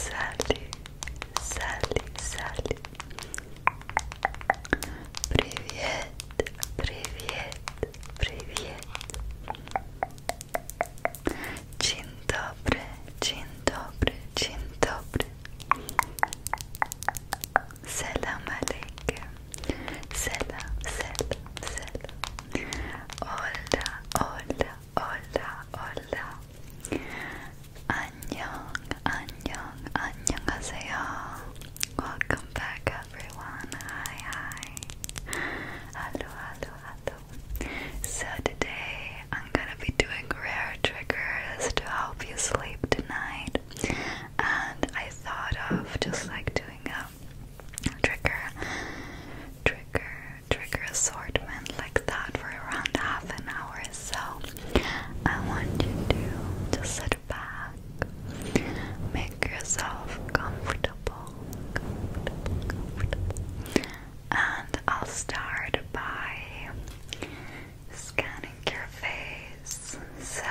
Салли, Салли, Салли. Привет, привет, привет. Dzień dobry, dzień dobry, dzień dobry. Selam aleykum. Selam, selam, Hola, hola, hola, hola. Annyeong, annyeong, annyeonghaseyo. Welcome back everyone. Hi, hi. Hello, hello, hello. So today I'm gonna be doing rare triggers to help you sleep tonight. And I thought of just like doing a trigger, trigger, trigger assortment like that for around half an hour. So I want you to just sit back, make yourself comfortable. And I'll start by scanning your face. So,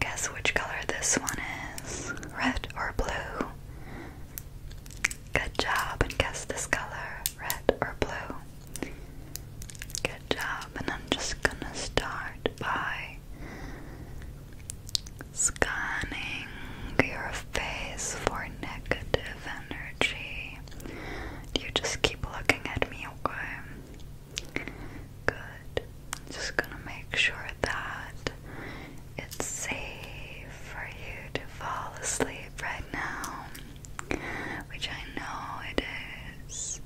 guess which color this one is? Red or blue? Good job, and guess this color, red or blue. Good job, and I'm just gonna start by Scanning your face for negative energy. You just keep looking at me, okay? Good. Just gonna make sure that it's safe for you to fall asleep right now, which I know it is.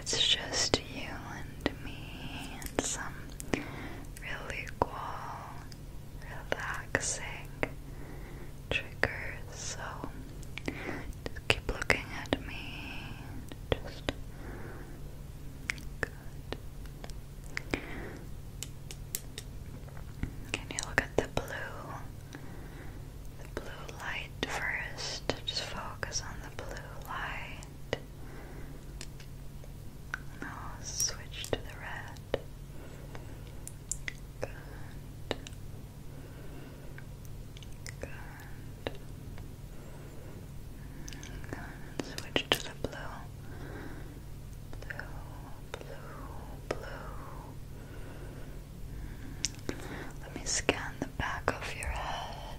It's just you and me and some really cool, relaxing triggers. So keep looking at me. Just good. Can you look at the blue? The blue light first. Just focus on the blue light. I'll switch to the red. Good. Good. And switch to the blue. Blue, blue, blue. Let me scan the back of your head.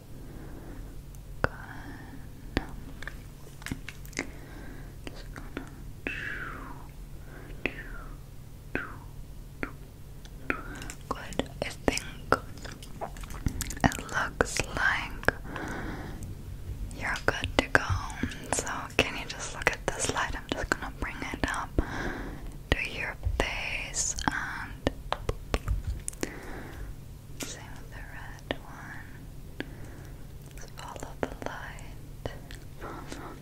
Good. Just Good. I think it looks like you're good to go. So can you just look at this light? I'm just gonna bring it up to your face and same with the red one. follow the light. Follow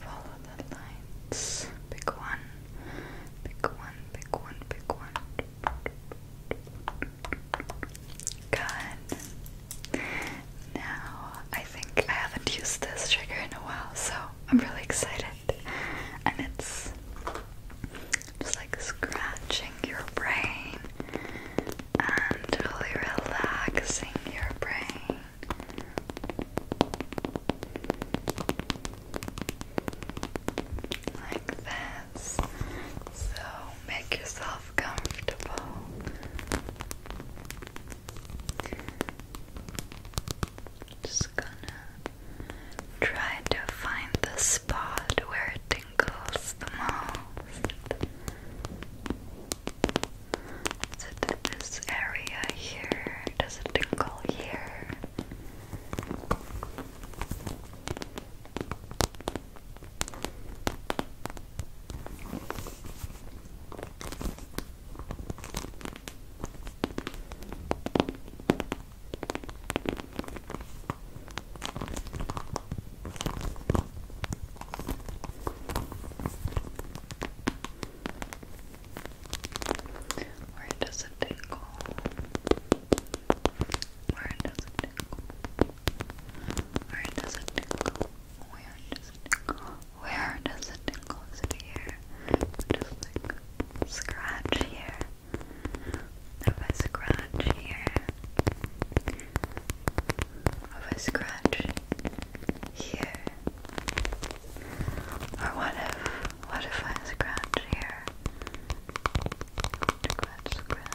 Follow the lights. Pick one. Pick one. Pick one. Pick one. Good. Now I think I haven't used this trigger in a while, so I'm really excited. And it's just like scratching your brain and really relaxing your brain. Like this. So make yourself comfortable. Just gonna try to find the spot where it tingles the most. Is it this area here? Does it tingle here? Where does it tingle? Where does it tingle? Where does it tingle? Where does it tingle? Where does it tingle? Is it here? Just like scratch here. If I scratch here. If I scratch here. Or what if what if I scratch here? Scratch, scratch.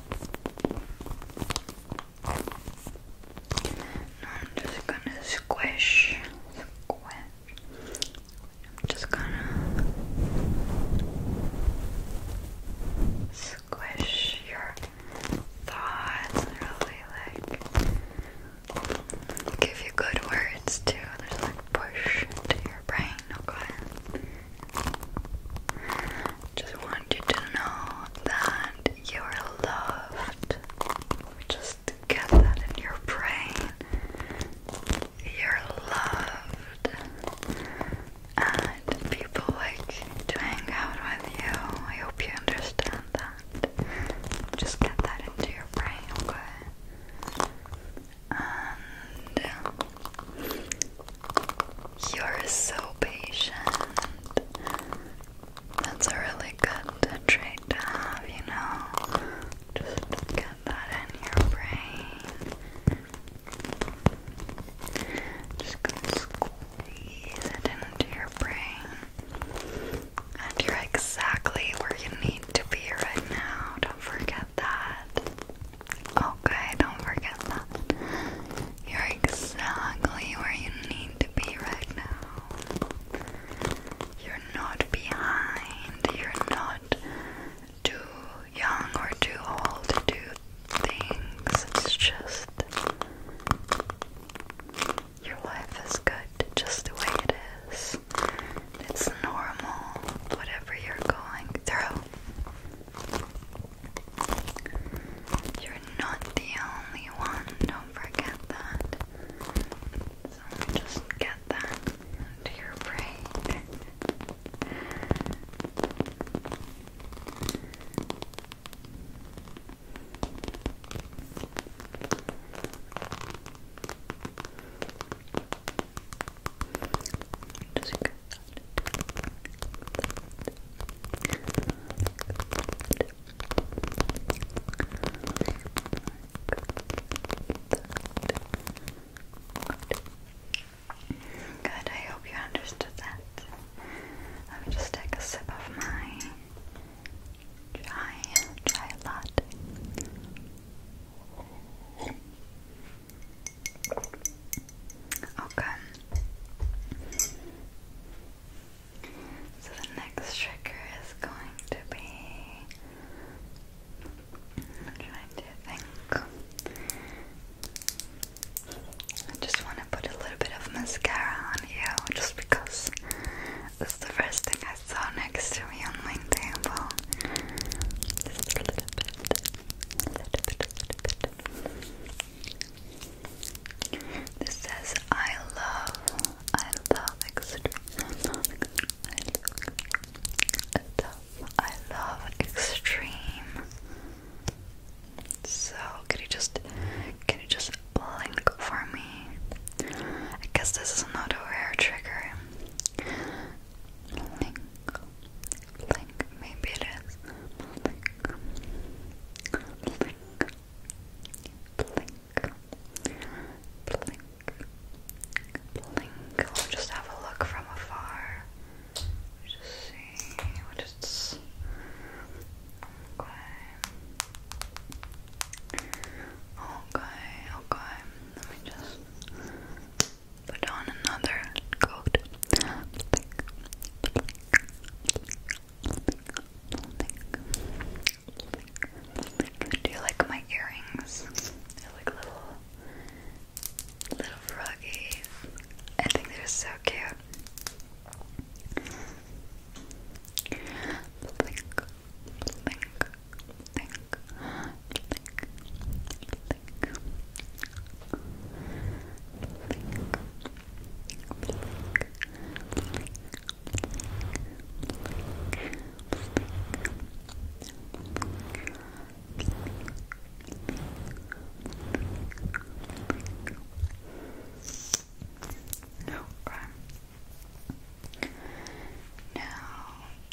I'm just gonna squish, squish. I'm just gonna squish your thoughts, really like give you good words too. There's like push to your brain no, Just want you to know that you are loved. Just get that in your brain. You're loved. And people like to hang out with you. I hope you understand that. Just get that into your brain, okay? you're so patient. That's a really good trait to have, you know. Just get that in your brain. Just going squeeze it into your brain. And you're exactly where you need to be right now. Don't forget that. Okay, don't forget that. You're exactly where you need to be right now. You're not behind. You're not too young or too old to do things. It's just your life is good just the way it is. It's normal, whatever you're going through. You're not the only one, don't forget that. So just get that to your brain. Just Good, I hope you understood that. Let me just take a sip of my dry, dry latte. Okay. So the next trigger is going to be. trying to think. I just want to put a little bit of mascara on you just because it's the first thing I saw next to me on my table. Just a little bit. This says, I love, I love extreme, I love, I love, extreme. So, can you just, can you just blink for me? I guess this is not a rare trigger blink, maybe it is blink, blink, blink, blink, blink we'll just have a look from afar we'll just see, we'll just okay okay, okay, let me just Put on another coat. Do you like my earrings? They're like little, little froggies. I think they're so cute blink, blink, No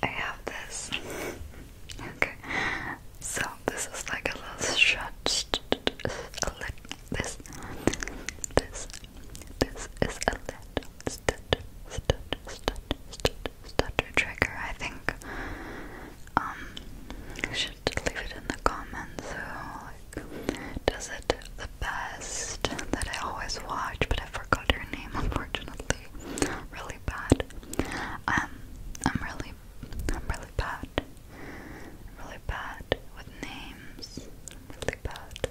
I have this Okay, so this is like a little shot. this, this, this is a little trigger. I think. Um, should leave it in the comments. So, uh, does it the best that I always watch? But I forgot her name, unfortunately. Real bad. Um, I'm really, I'm really bad. really bad with names. really bad.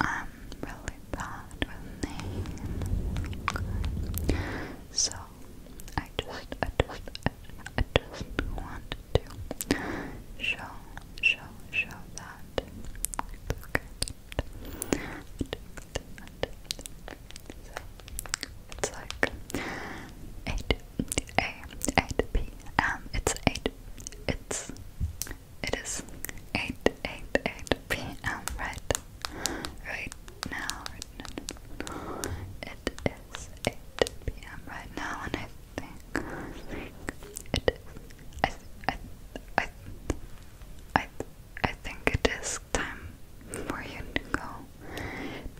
I'm really bad with names. So I just, I just, I, just want to show, show, show that. okay. So it's like 8 a 8 p.m. It's 8 it's it is 8 8 8 p.m. right right now right now it is 8 p.m. right now and I think I think it is I I I I I think it is time for you to go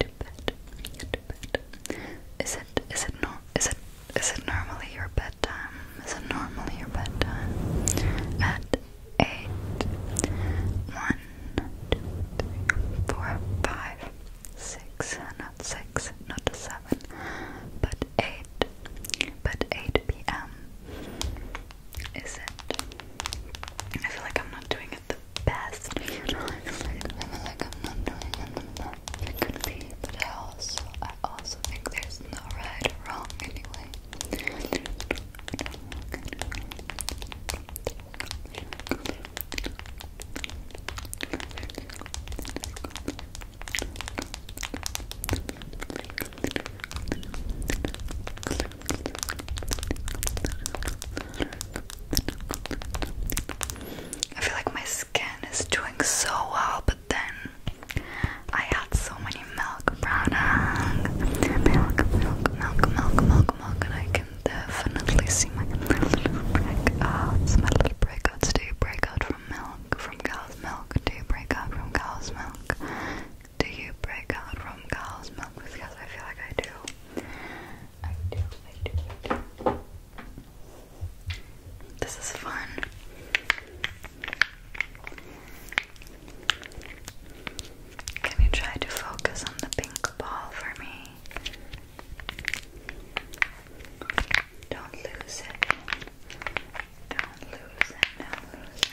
to bed. To bed. Is it? Is it no? Is it? Is it normally your bedtime? Is it normally your bedtime at eight? One, two, three, four, five, six. Not six. Not seven. But eight. But eight p.m is it? I feel like I'm not doing it the best. You I feel like, I am not doing it the best. but I also, I also think there's no right or wrong anyway. I feel like my skin is doing so well, but then I had so many milk products. Milk, milk, milk, milk, milk, and I can definitely see my little breakouts, my little break out from milk, from cow's milk, do break out from cow's milk. Do you break out from cow's milk? Because I feel like I do. I do, I do, This is fun. Can you try to focus on the pink ball for me? Don't lose it and loosen and loosen.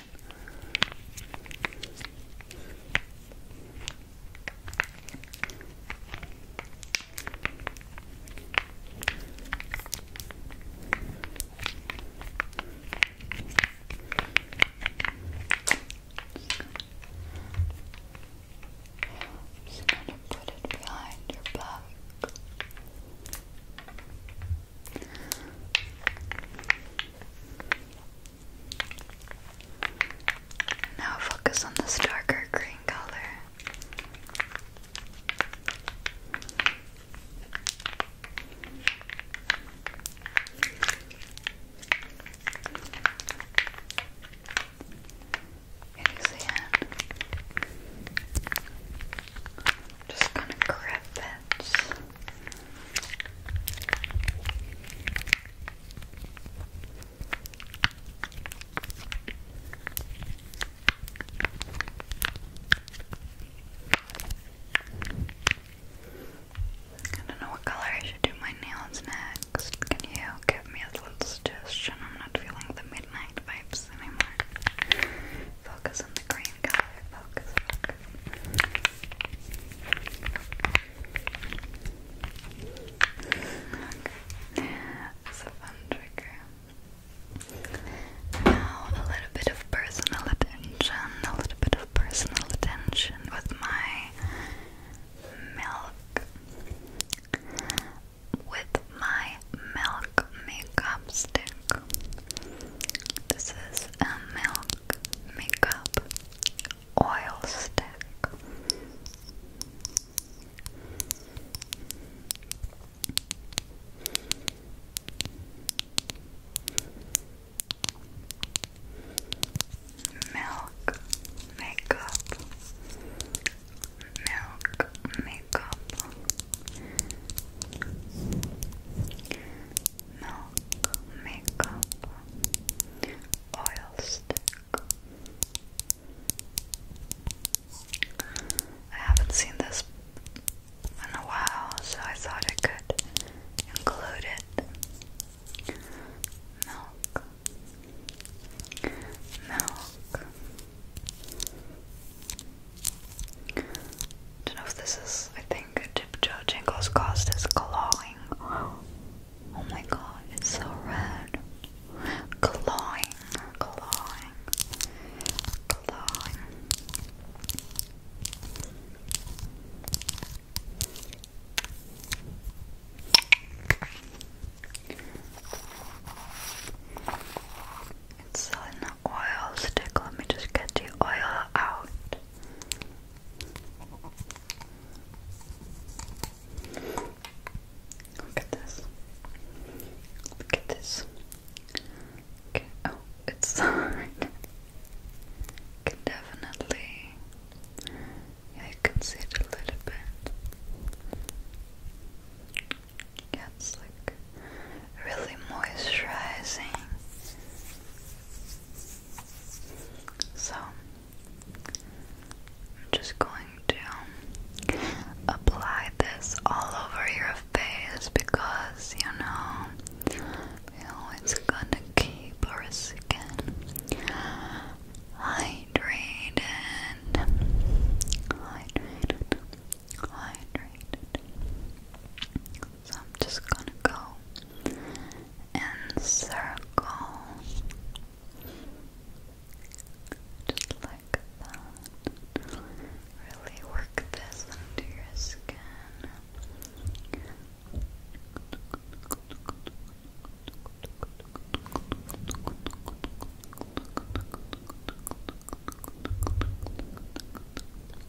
Just gonna put it behind your back. Now focus on this darker green color. Can you see Just gonna grip it. I don't know what color I should do my nails next. Can you give me a little suggestion? I'm not feeling the midnight vibes anymore. Focus on the green color. Focus, focus. a fun trigger. Now a little bit of personal attention. A little bit of personal attention with my milk. With my milk makeup stick. This is is a milk makeup oil stick. Milk makeup, milk makeup, milk, makeup, oil stick. I haven't seen this in a while, so I thought I could include it. Milk, milk, don't know if this is, I think, dip judge. Angle's cost is clawing. Oh my god, it's so red. Clawing, clawing, clawing. It's Selena oil stick. Let me just get the oil out. Look at this. Look at this. Okay. Oh, it's definitely. Yeah, you can see it a little bit. Yeah, it's like really moisturizing. So, I'm just going to apply this all over your face because you know, it's gonna keep your skin hydrated, hydrated, hydrated. So I'm just gonna go and circle just like that. Really work this into your skin.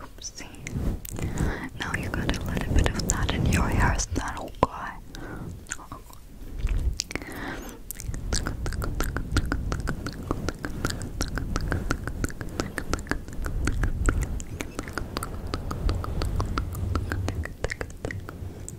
Oopsie. Now you got a little bit of that in your hair, is that okay?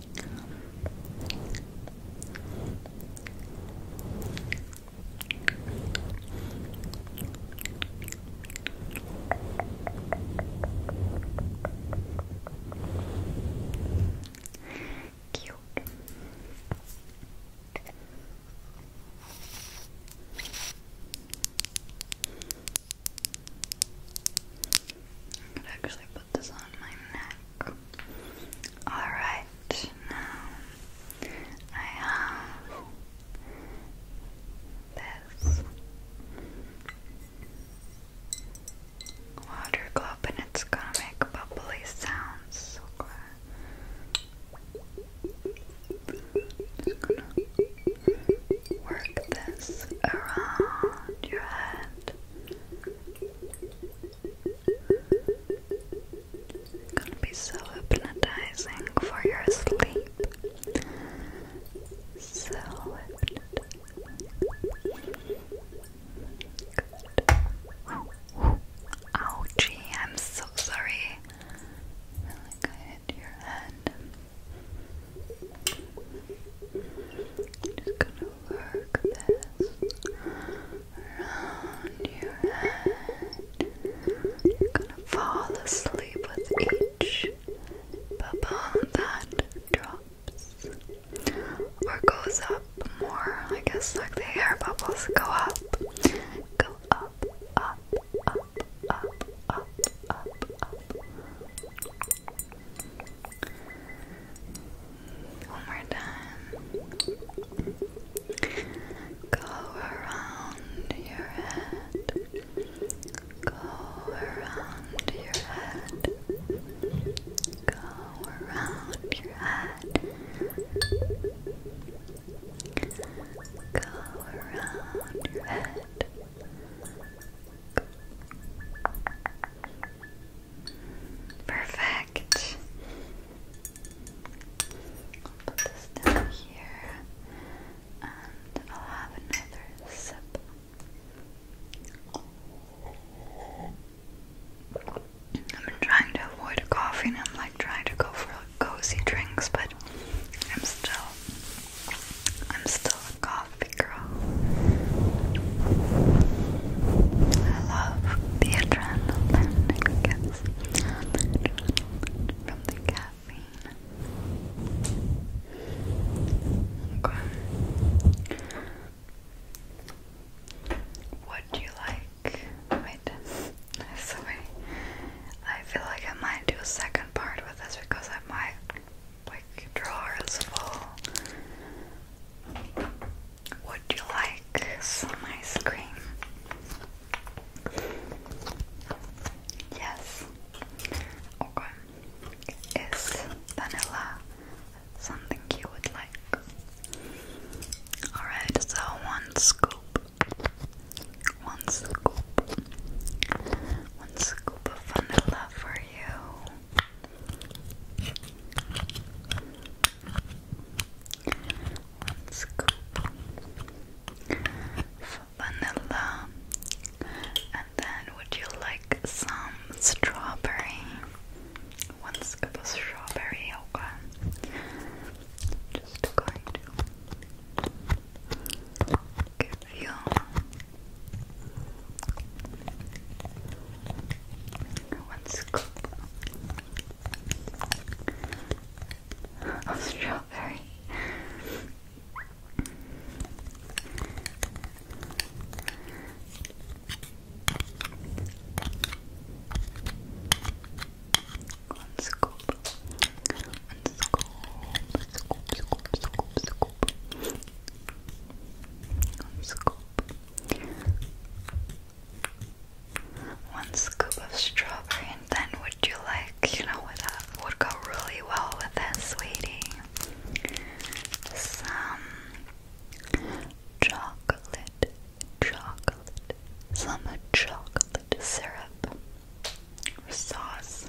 Cute. I could actually put this on my neck. Alright, now I have this water globe and it's gonna make bubbly sounds. Okay. Just gonna work this around your head. Gonna be so hypnotizing for your sleep. So Good. Ooh. Ouchie, I'm so sorry. like I hit your head. Just gonna work this around your head. You're gonna fall asleep with each bubble that drops or goes up more. I guess like the air bubbles go up, go up, up, up, up, up, up, up. One more time. Go around your head. Go around your head. Go around your head. Go around your head. Perfect. put this down here and I'll have another sip. I've been trying to avoid coffee and I'm like trying to go for cozy drinks but I'm still I'm still a coffee love girl. I love the adrenaline it gets from the caffeine. What do you like? Wait, sorry. I feel like I might do a second part with this because I might like drawers full. Would you like some ice cream? Yes. Okay. Is vanilla something you would like? Alright, so one scoop. One scoop. One scoop of vanilla for you. One scoop for vanilla, and then would you like some strawberry? One scoop of strawberry, okay. Just going to give you one scoop strawberry. One scoop. One scoop. Scoop, scoop, scoop, scoop. One scoop. One scoop of strawberry, and then would you like, you know, what uh, would go really well with this, sweetie? Some chocolate, chocolate, some chocolate syrup or sauce.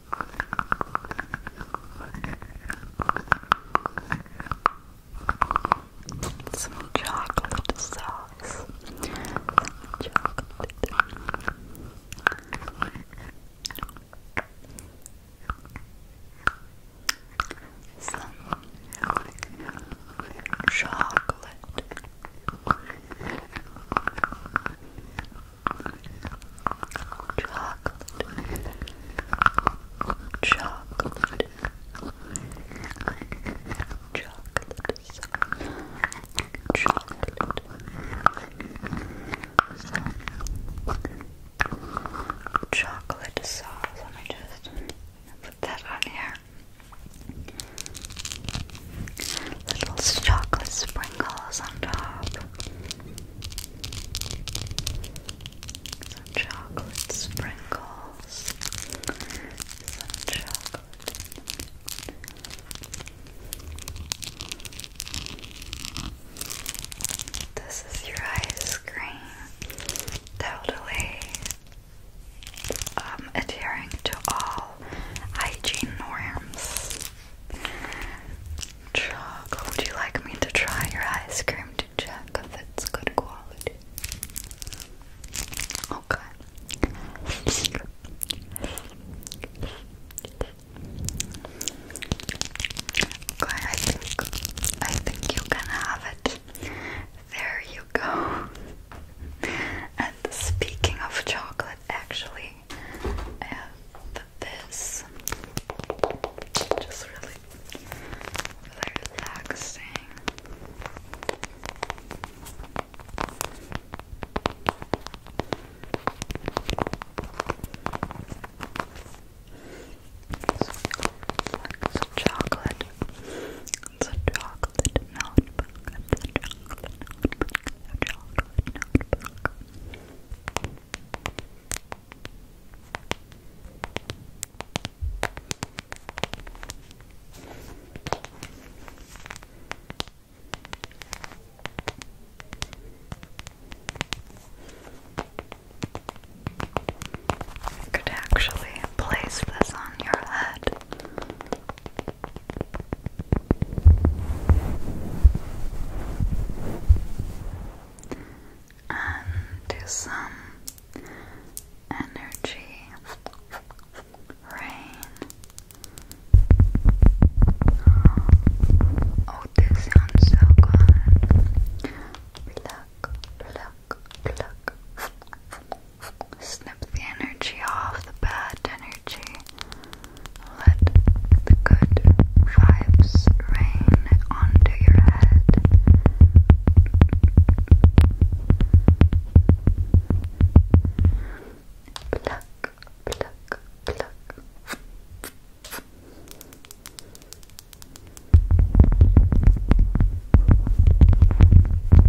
Some chocolate sauce. chocolate. Some chocolate chocolate, chocolate, chocolate, chocolate. Chocolate sauce. Let me just put that on here. Little chocolate sprinkles on top chocolate sprinkles. Some chocolate. This is your ice cream. Totally um, adhering to all hygiene norms. Choco, would you like me to try your ice cream to check if it's good quality? Okay, I think I think you can have it. There you go. And speaking of chocolate, actually, I have this, just really, relaxing. Some chocolate. It's chocolate notebook. It's chocolate notebook. A chocolate notebook. You could actually place this on your head and do some energy rain. Oh, this sounds so good. Pluck, pluck, pluck. Snip the energy off the bad energy. Let the good vibes rain onto your head. Pluck, pluck, pluck.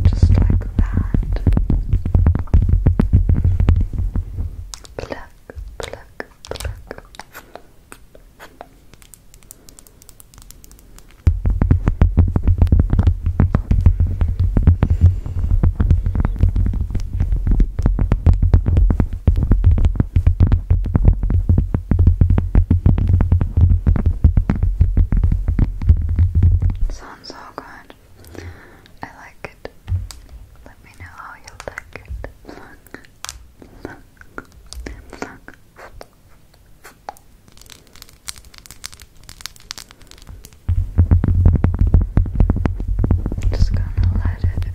Just like that. Pluck, pluck, pluck, pluck. Sounds so good. I like it. Let know how you like it. Just gonna let it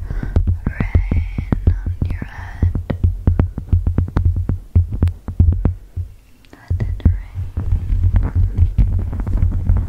rain on your head. Let it rain.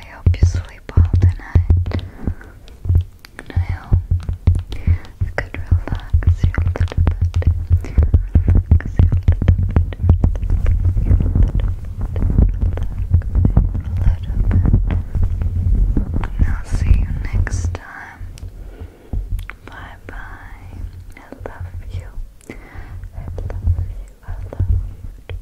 I hope you sleep sleep And I hope you could relax you a little bit. Relax you a little bit. Relax you a little bit. And I'll see you next time. Bye bye. I love you. I love you. I love you.